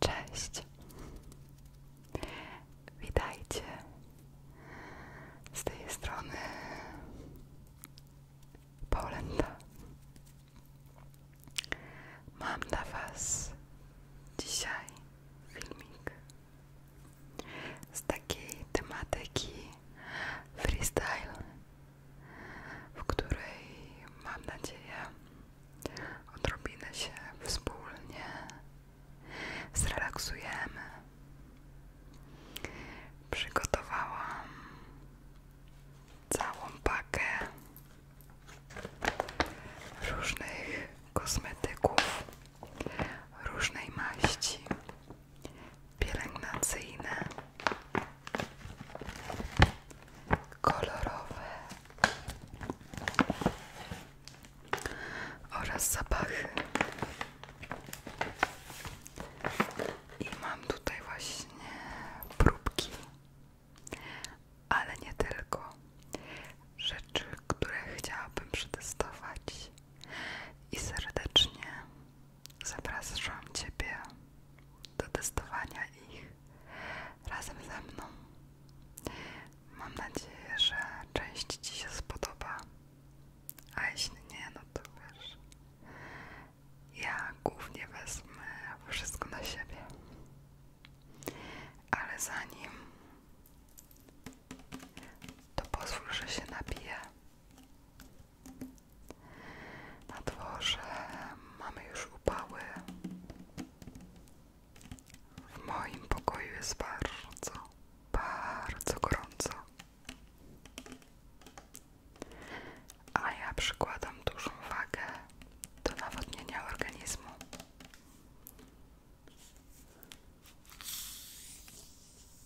Cześć, witajcie z tej strony Polenda. Mam dla Was dzisiaj filmik z takiej tematyki freestyle w której mam nadzieję odrobinę się wspólnie zrelaksujemy. Przygotowałam całą pakę różnych kosmetyków różnej maści pielęgnacyjne, kolorowe oraz zapachy. I mam tutaj właśnie próbki, ale nie tylko. Rzeczy, które chciałabym przetestować i serdecznie Zapraszam Ciebie do testowania ich razem ze mną. Mam nadzieję, że część Ci się spodoba, a jeśli nie, no to wiesz, ja głównie wezmę wszystko na siebie. Ale zanim to pozwól, że się napiję na dworze mamy już upały. W moim pokoju jest bardzo, bardzo gorąco. A ja przykładam dużą wagę do nawodnienia organizmu.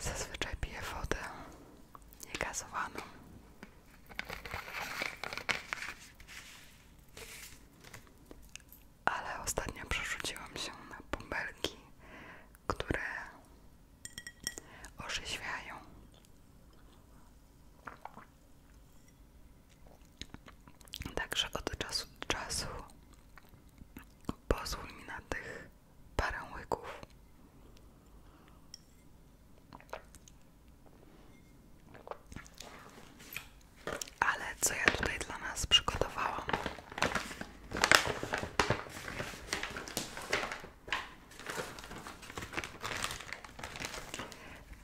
Zazwyczaj piję wodę niegazowaną. Ale ostatnio przerzuciłam się na bąbelki, które orzeźwiają. Także od czasu do czasu pozwól mi na tych parę łyków. Ale co ja tutaj dla nas przygotowałam?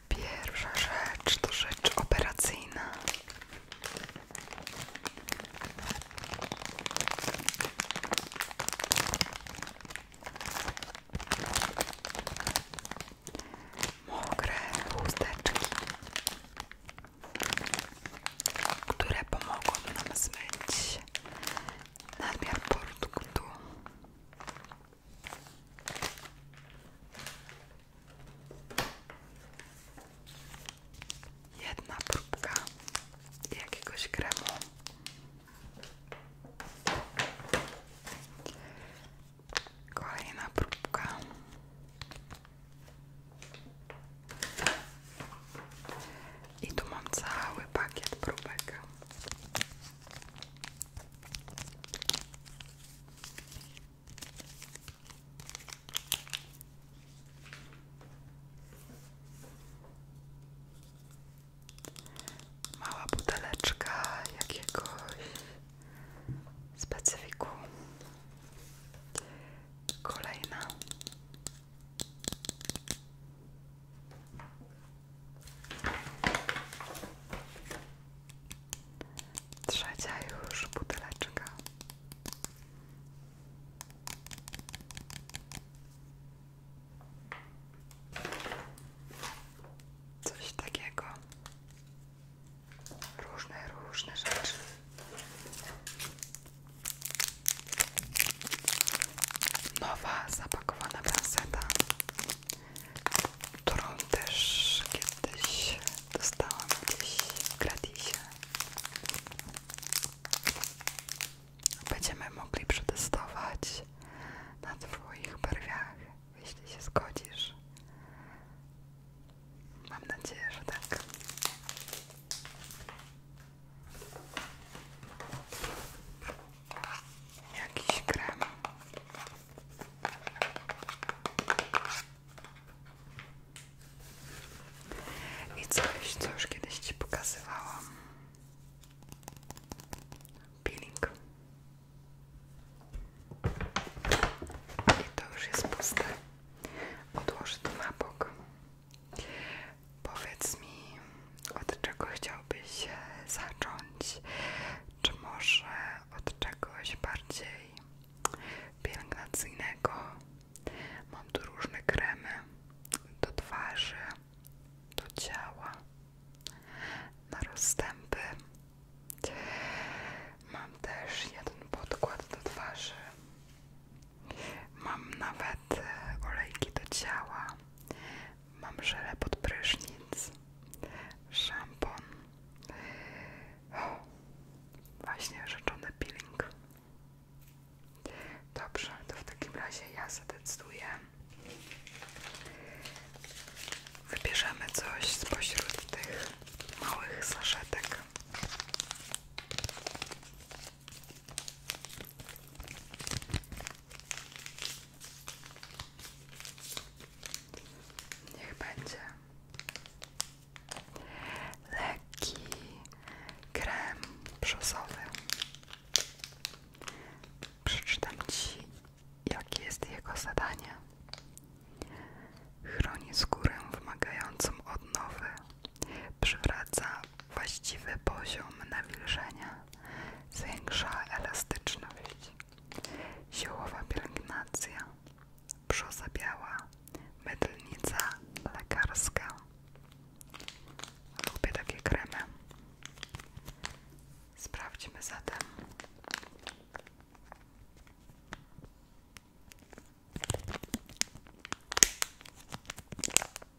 Pierwsza rzecz to rzecz operacyjna. Mokre chusteczki, które pomogą nam zmyć nadmiar produktu. Jedna próbka jakiegoś kremu. Kolejna próbka. I tu mam cały pakiet próbek. Mała buteleczka jakiegoś specyfiku. Kolejna. Trzecia już buteleczka. Coś takiego. Różne, różne rzeczy nowa zapakowana bransola, którą też kiedyś dostałam gdzieś w gratisie. Będziemy mogli przetestować na Twoich barwiach, jeśli się zgodzisz. Mam nadzieję, że tak jakiś krem. I coś, co już kiedyś Ci pokazywałam. Peeling. I to już jest puste. Odłożę to na bok. Powiedz mi, od czego chciałbyś zacząć? Czy może od czegoś bardziej pielęgnacyjnego? Mam tu różne kremy do twarzy, do ciała, na rozstępy. Mam też jeden podkład do twarzy. Mam nawet e, olejki do ciała. Mam żelę pod prysznic, szampon, właśnie rzeczony peeling. Dobrze, to w takim razie ja zdecyduję. Wybierzemy coś spośród tych małych saszetek. Niech będzie leki krem brzozowy. Przeczytam Ci, jakie jest jego zadanie. Chroni skórę wymagającą odnowy, przywraca właściwy poziom nawilżenia zwiększa elastyczność. Ziołowa pielęgnacja, brzoza biała, mydlnica lekarska. Lubię takie kremy. Sprawdźmy zatem.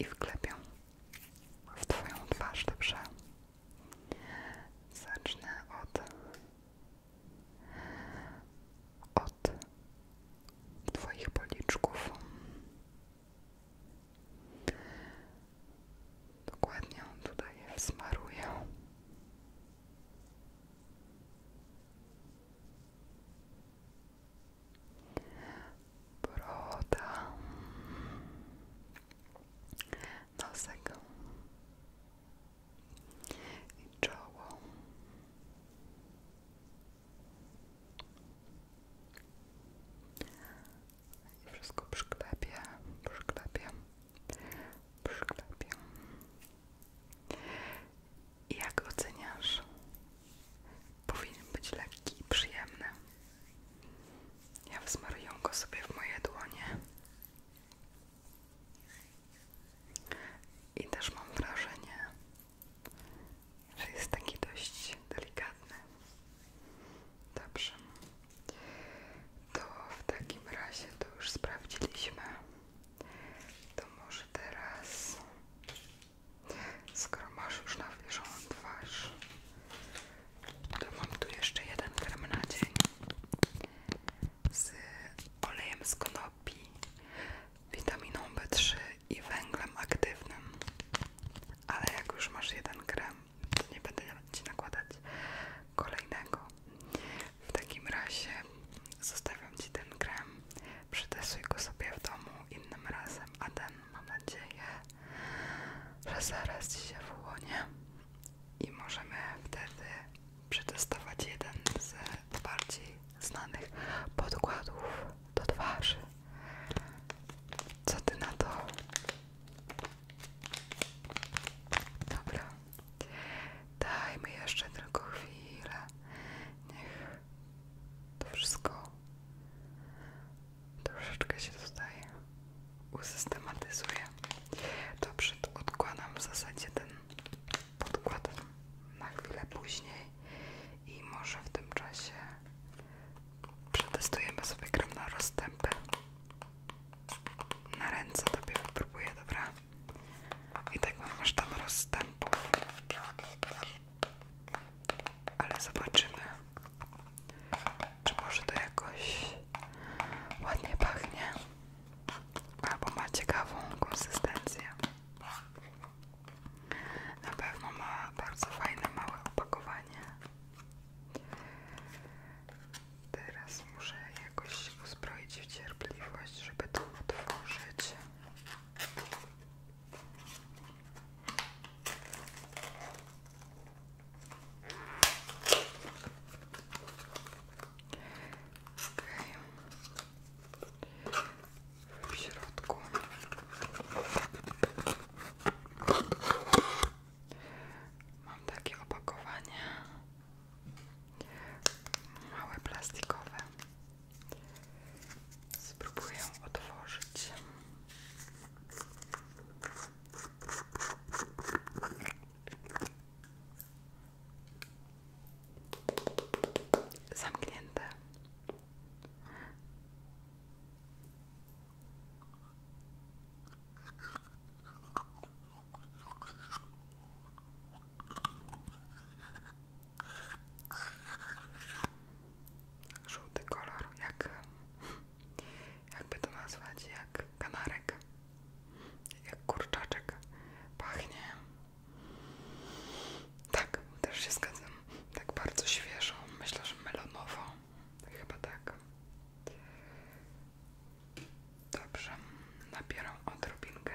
i wklepię w Twoją twarz, dobrze? Zacznę od od Twoich policzków dokładnie tutaj je wsmaruję broda, nosek i czoło. I wszystko przyklepię, przyklepię, przyklepię. I Jak oceniasz? Powinien być lekki i przyjemny. Ja wzmaruję go sobie w moje dłonie. I też mam wrażenie, że jest taki dość delikatny. Dobrze. To w takim razie to już sprawdziliśmy. To może teraz, skoro masz już nawilżoną twarz, to mam tu jeszcze jeden krem na dzień z olejem z konopi, witaminą B3 i węglem aktywnym. Ale jak już masz jeden krem, to nie będę ci nakładać kolejnego. W takim razie zostawiam Ci ten krem, przetestuj go sobie w domu innym razem, a ten mam nadzieję, że zaraz Ci się wyłonię i możemy wtedy przetestować jeden z bardziej znanych podkładów do twarzy. Co Ty na to? Dobra. Dajmy jeszcze tylko chwilę. Niech to wszystko troszeczkę się tutaj usystematyzuje. Dobrze, odkładam w zasadzie ten podkład na chwilę później i może w tym czasie przetestujemy sobie gram na rozstępy. Na ręce tobie wypróbuję, dobra? I tak mam aż tam rozstępów. Ale zobaczymy, czy może to jakoś ładnie pachnie, albo ma ciekawą konsystencję. Na pewno ma bardzo fajne, małe opakowanie. Teraz Muszę jakoś usprawiedliwić, w żeby to otworzyć. W środku mam takie opakowanie małe plastikowe. Spróbuję otworzyć. Zamknięte. Żółty kolor, jak jakby to nazwać, jak kanarek, jak kurczaczek, pachnie. Tak, też się zgadzam. Tak bardzo świeżo, myślę, że melonowo. Chyba tak. Dobrze, napieram odrobinkę.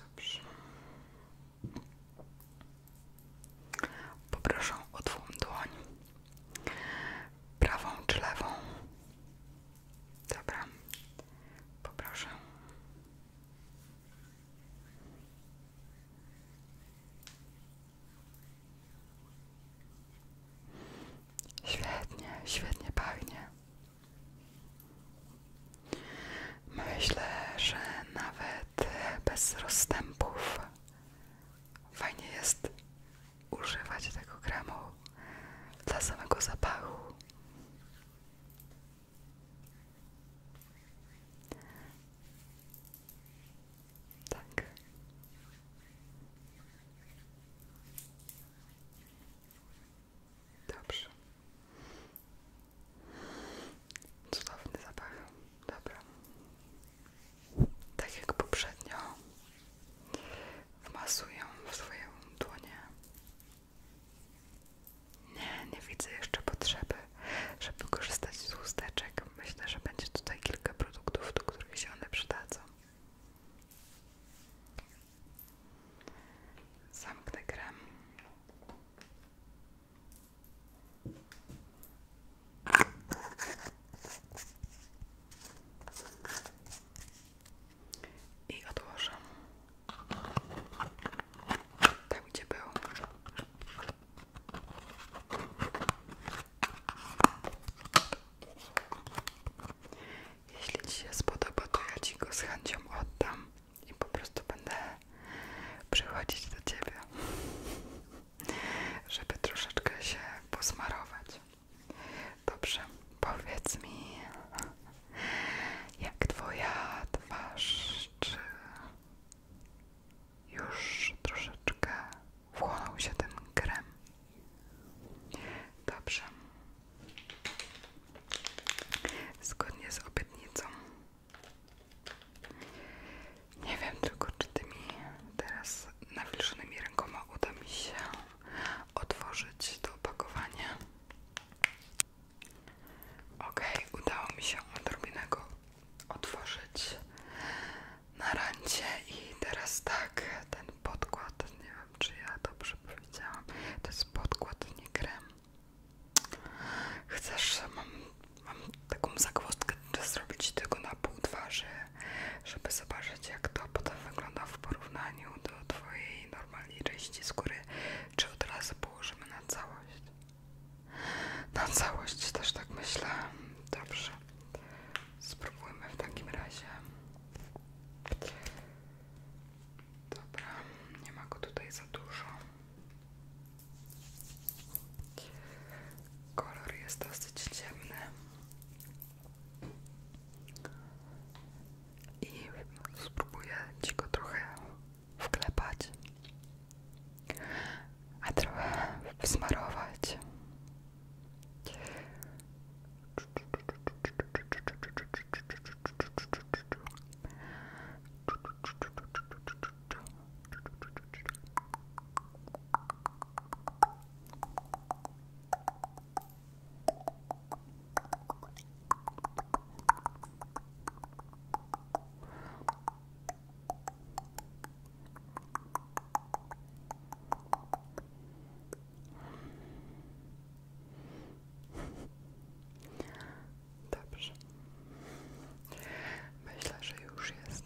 Dobrze. Poproszę o twą dłoń. Prawą czy lewą? Dobra, poproszę. Świetnie, świetnie pachnie. Myślę, że nawet bez rozstępów fajnie jest używać tego kremu dla samego zapachu. Tak. Dobrze. Cudowny zapach. Dobra. Tak jak poprzednio wmasuję w swoją dłonie nie, nie widzę jeszcze potrzeby, żeby korzystać z chusteczek. Myślę, że będzie tutaj kilka produktów, do których się one przydadzą. Zamknę krem. I odłożę. Tam gdzie był. Jeśli Ci się spodoba, to ja Ci go z chęcią oddam i po prostu będę przychodzić do Ciebie, żeby troszeczkę się posmarować. Dobrze, powiedz mi, jak twoja twarz, czy już troszeczkę wchłonął się ten krem? Dobrze. Zgodnie z obietnicą. Nie wiem tylko, czy tymi teraz nawilżonymi rękoma uda mi się otworzyć to opakowanie. Ok, udało mi się odrobinę go otworzyć na rancie i teraz tak, ten podkład, nie wiem czy ja dobrze powiedziałam, to jest podkład, nie krem. Chcesz, mam, mam taką zagwozdkę, żeby zrobić tylko na pół twarzy, żeby zobaczyć jak to potem wygląda w porównaniu do twojej normalnie części skóry, czy od razu położymy na całość? Na całość też tak myślę. Dobrze. Spróbujmy w takim razie. Dobra, nie ma go tutaj za dużo. Kolor jest dosyć ciemny i spróbuję ci go trochę wklepać, a trochę wsmarować. Dobrze. Myślę, że już jest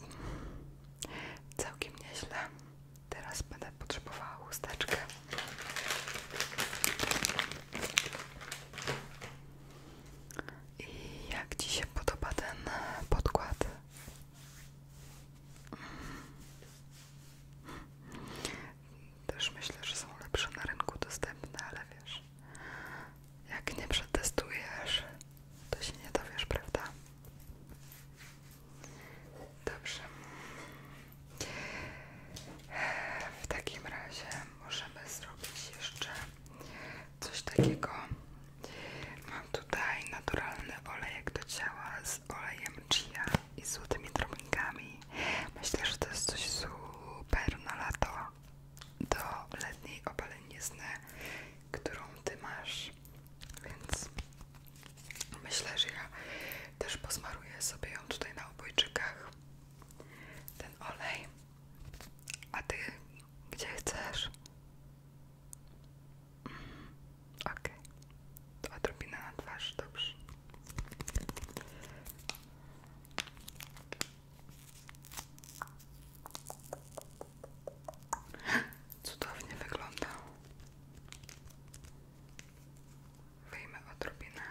całkiem nieźle. Teraz będę potrzebowała chusteczkę. I jak Ci się podoba ten podkład? Też myślę, że są lepsze na rynku dostępne, ale wiesz, jak nie przetestujesz, to się nie dowiesz, prawda? Dobrze. W takim razie możemy zrobić jeszcze coś takiego. Mam tutaj naturalny olejek do ciała z olejem chia i złotymi drobnikami. Myślę, że to jest coś super na lato do letniej opalenizny, którą ty masz. Więc Myślę, że ja też posmaruję sobie ją tutaj na obojczykach. Ten olej. A ty gdzie chcesz? Mm, okej. Okay. Odrobinę na twarz, dobrze. Cudownie wygląda. Wyjmę odrobinę.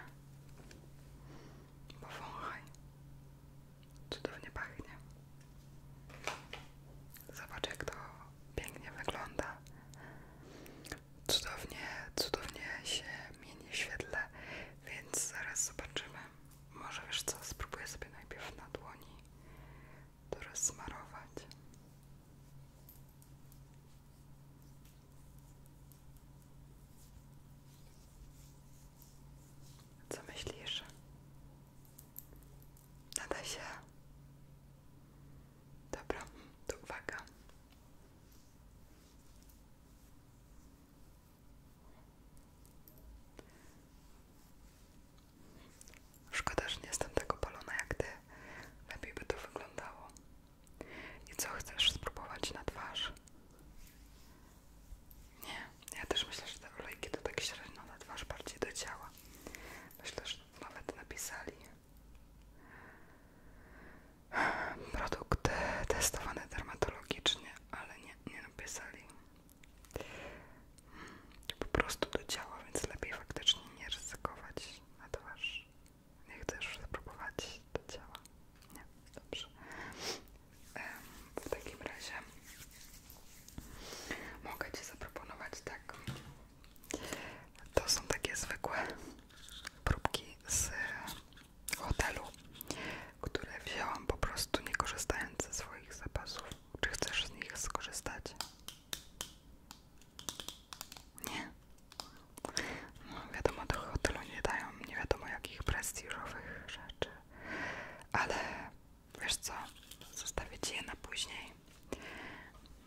Powąchaj. Cudownie pachnie. Zobacz jak to pięknie wygląda. Cudownie, cudownie się mieni świetle, więc zaraz zobaczymy. Może wiesz co, spróbuję sobie najpierw na dłoni to rozsmarować. Co myślisz? Nada się. Dobra, to uwaga. Szkoda, że nie jestem tak opalona jak ty. Lepiej by to wyglądało. I co chcesz spróbować na twarz? Nie, ja też myślę, że te olejki to tak średnio na twarz, bardziej do działa Myślę, że nawet napisali. produkty testowane dermatologicznie, ale nie, nie napisali. Hmm, po prostu do działa więc lepiej faktycznie nie ryzykować na twarz. Nie chcesz spróbować do ciała? Nie, dobrze. W takim razie mogę Ci zaproponować tak. To są takie zwykłe próbki z hotelu, które wzięłam po prostu nie korzystając ze swoich zapasów. Czy chcesz z nich skorzystać? Nie. No, wiadomo, do hotelu nie dają nie wiadomo jakich prestiżowych rzeczy. Ale wiesz co, zostawię ci je na później.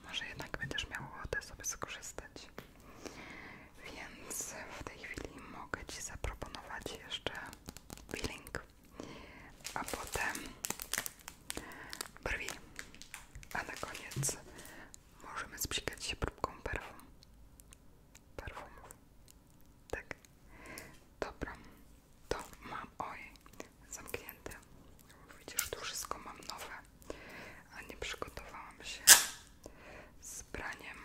Może jednak będziesz miał ochotę sobie skorzystać. Więc w tej chwili mogę ci zaproponować jeszcze peeling. A potem brwi. A na koniec możemy sprzykać się próbką perfum. Perfumów. Tak. Dobra. To mam, oj, zamknięte. Widzisz, tu wszystko mam nowe. A nie przygotowałam się z braniem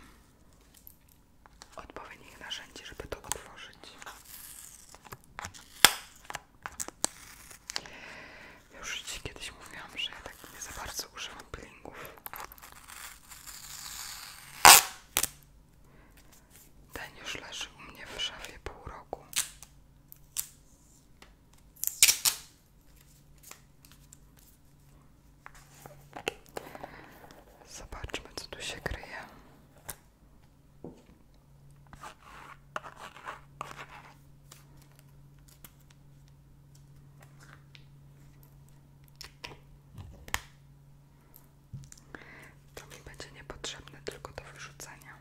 odpowiednich narzędzi, żeby to otworzyć. Ja już kiedyś mówiłam, że ja tak nie za bardzo używam peelingów. Ten już leży u mnie w szafie pół roku. Zobaczmy, co tu się kryje. To mi będzie niepotrzebne tylko do wyrzucenia.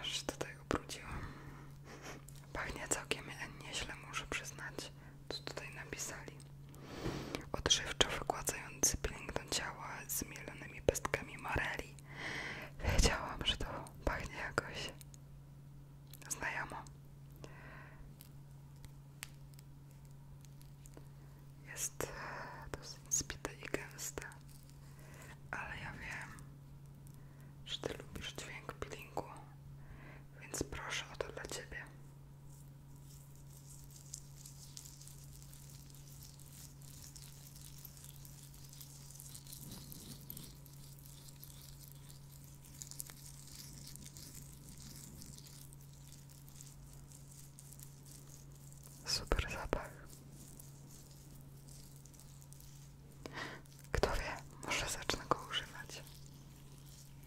Aż tutaj ubrudziłam. Pachnie całkiem nieźle, muszę przyznać co tutaj napisali. Odżywczo wygładzający pielęgną ciała z mielonymi pestkami moreli. Wiedziałam, że to pachnie jakoś znajomo. Jest e, dosyć spite i gęste, ale ja wiem, że ty lubisz dźwięk peelingu więc proszę o to dla Ciebie. Super zapach. Kto wie, może zacznę go używać.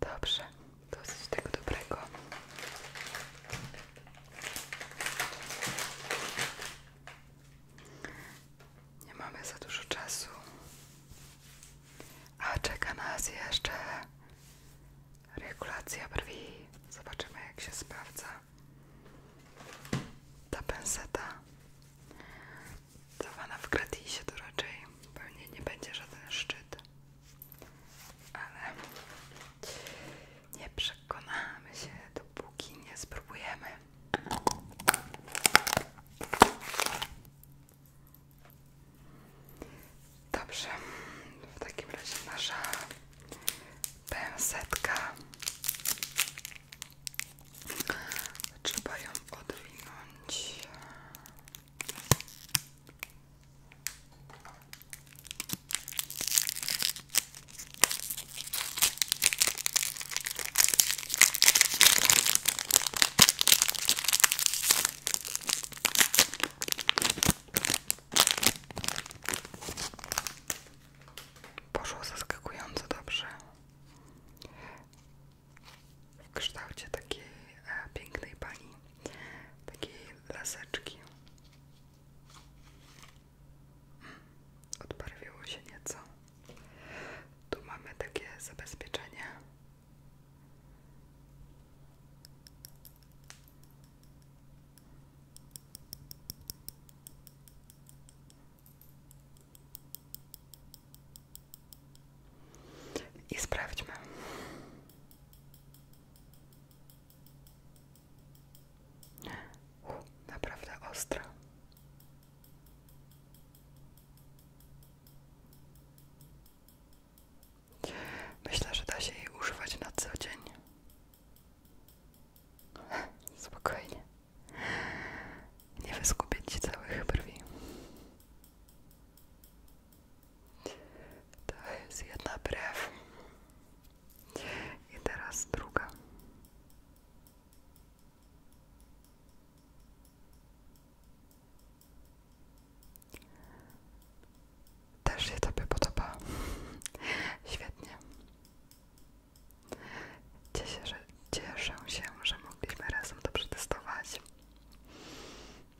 Dobrze, dosyć tego dobrego. Nie mamy za dużo czasu. A czeka nas jeszcze regulacja brwi. Zobaczymy, jak się sprawdza ta penseta. Zawana w gratisie to raczej pewnie nie będzie żaden szczyt, ale nie przekonamy się, dopóki nie spróbujemy. Dobrze, w takim razie nasza pęsetka Trzeba ją odwinąć. Poszło zaskakująco dobrze w kształcie takiej e, pięknej pani, takiej laseczki. Mm, odbarwiło się nieco. Tu mamy takie zabezpieczenie. I sprawdźmy. naprawdę ostra. Myślę, że da się jej używać na co dzień. Spokojnie. Nie wyskupię ci całych brwi. To jest jedna brew. I teraz druga. Też się Tobie podoba. Świetnie. Cieszę, że, cieszę się, że mogliśmy razem to przetestować.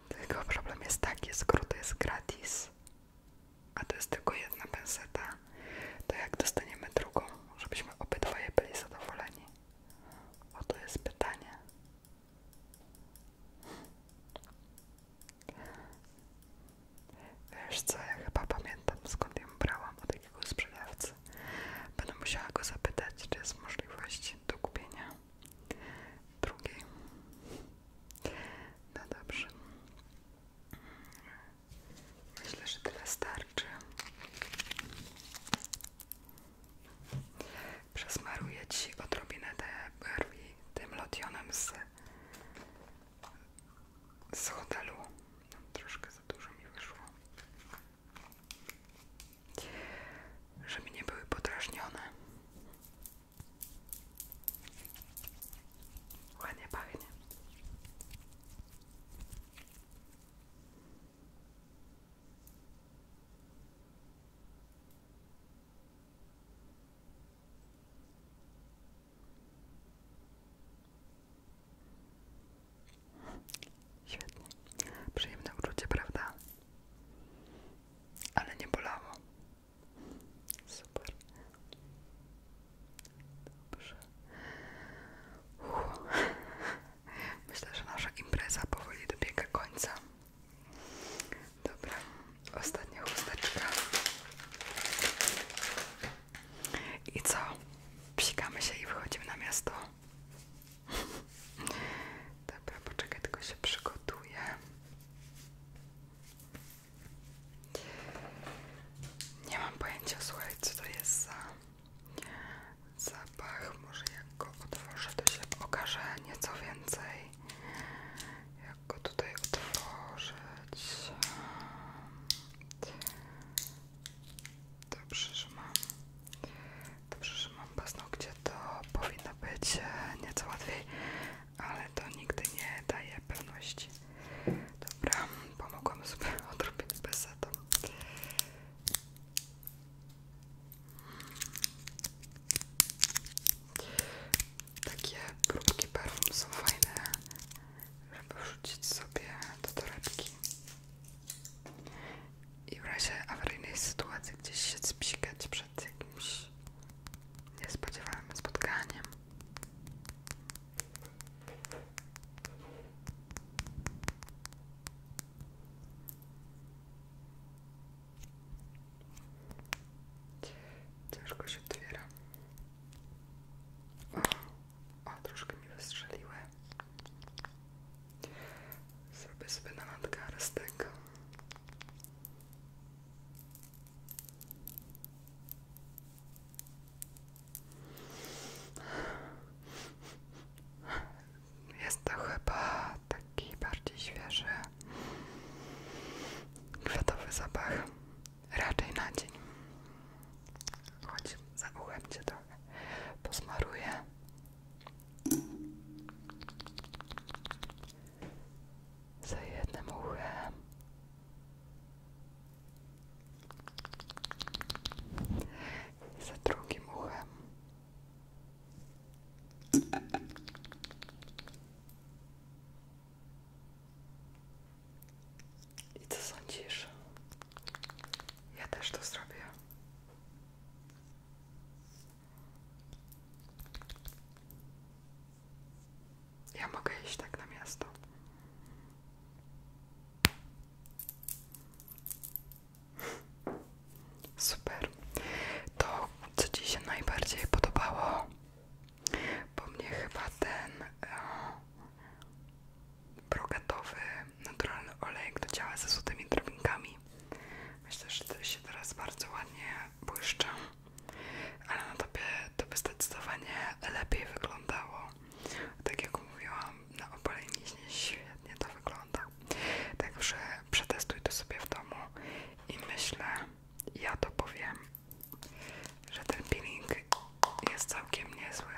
Tylko problem jest taki, skoro to jest gratis, a to jest tylko jedna penseta, to jak dostaniemy drugą, żebyśmy obydwoje byli zadowoleni? O to jest pytanie. Wiesz co, ja chyba pamiętam skąd ją brałam od jakiego sprzedawcy. Będę musiała go zapytać, czy jest możliwość do kupienia drugiej. No dobrze. Myślę, że tyle starczy. Przesmaruję Ci odrobinę te brwi tym lotionem z z hotelu. No, troszkę za dużo mi wyszło. Żeby nie były podrażnione. Ładnie pachnie. Świetnie. Przyjemne uczucie, prawda? Ale nie bolało. Super. Dobrze. Myślę, że nasza impreza powoli dobiega końca. Dobra, ostatnia chusteczka. I co? Psikamy się i wychodzimy na miasto. Dobra, poczekaj, tylko się przygotuję. Nie mam pojęcia, słuchaj, co to jest za zapach. Może jak go otworzę, to się okaże nieco więcej. Jak go tutaj otworzyć? Dobrze, że mam. Dobrze, że mam paznokcie, to powinno być e, nieco łatwiej, ale to nigdy nie daje pewności. Dobra, pomogłam sobie odrobinę besetą. Takie próbki perfum są fajne żeby wrzucić sobie do torebki i w razie awaryjnej sytuacji gdzieś się spiskać przed jakimś niespodziewanym spotkaniem. Ciężko się otwiera. O, troszkę mi wystrzeliły. Zrobię sobie na nadgarstek. Jest to chyba taki bardziej świeży, kwiatowy zapach raczej na dzień. Chodź, za uchem cię trochę posmaruję. Za jednym uchem. za drugim uchem. I co sądzisz? Ja też to zrobię. Ja mogę iść tak na miasto. Super. To, co Ci się najbardziej podobało bo mnie chyba ten e, brokatowy, naturalny olejek do ze złotymi drobinkami. Myślę, że to się teraz bardzo ładnie błyszczą, ale na tobie to by zdecydowanie lepiej wyglądało. Tak jak mówiłam, na opaleniźnie świetnie to wygląda. Także przetestuj to sobie w domu i myślę, ja to powiem że ten peeling jest całkiem niezły.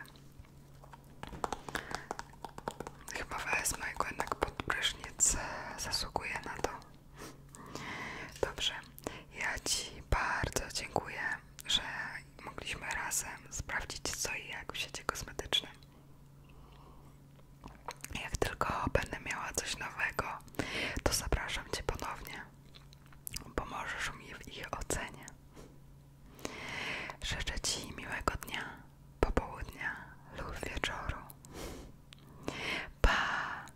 Chyba wezmę go jednak pod prysznic, zasługuje na to. Dobrze, ja Ci bardzo dziękuję, że mogliśmy razem sprawdzić co i jak w sieci kosmetycznym. Jak tylko będę miała coś nowego, to zapraszam Cię ponownie. Pomożesz mi w ich ocenie. Życzę Ci miłego dnia, popołudnia lub wieczoru. Pa!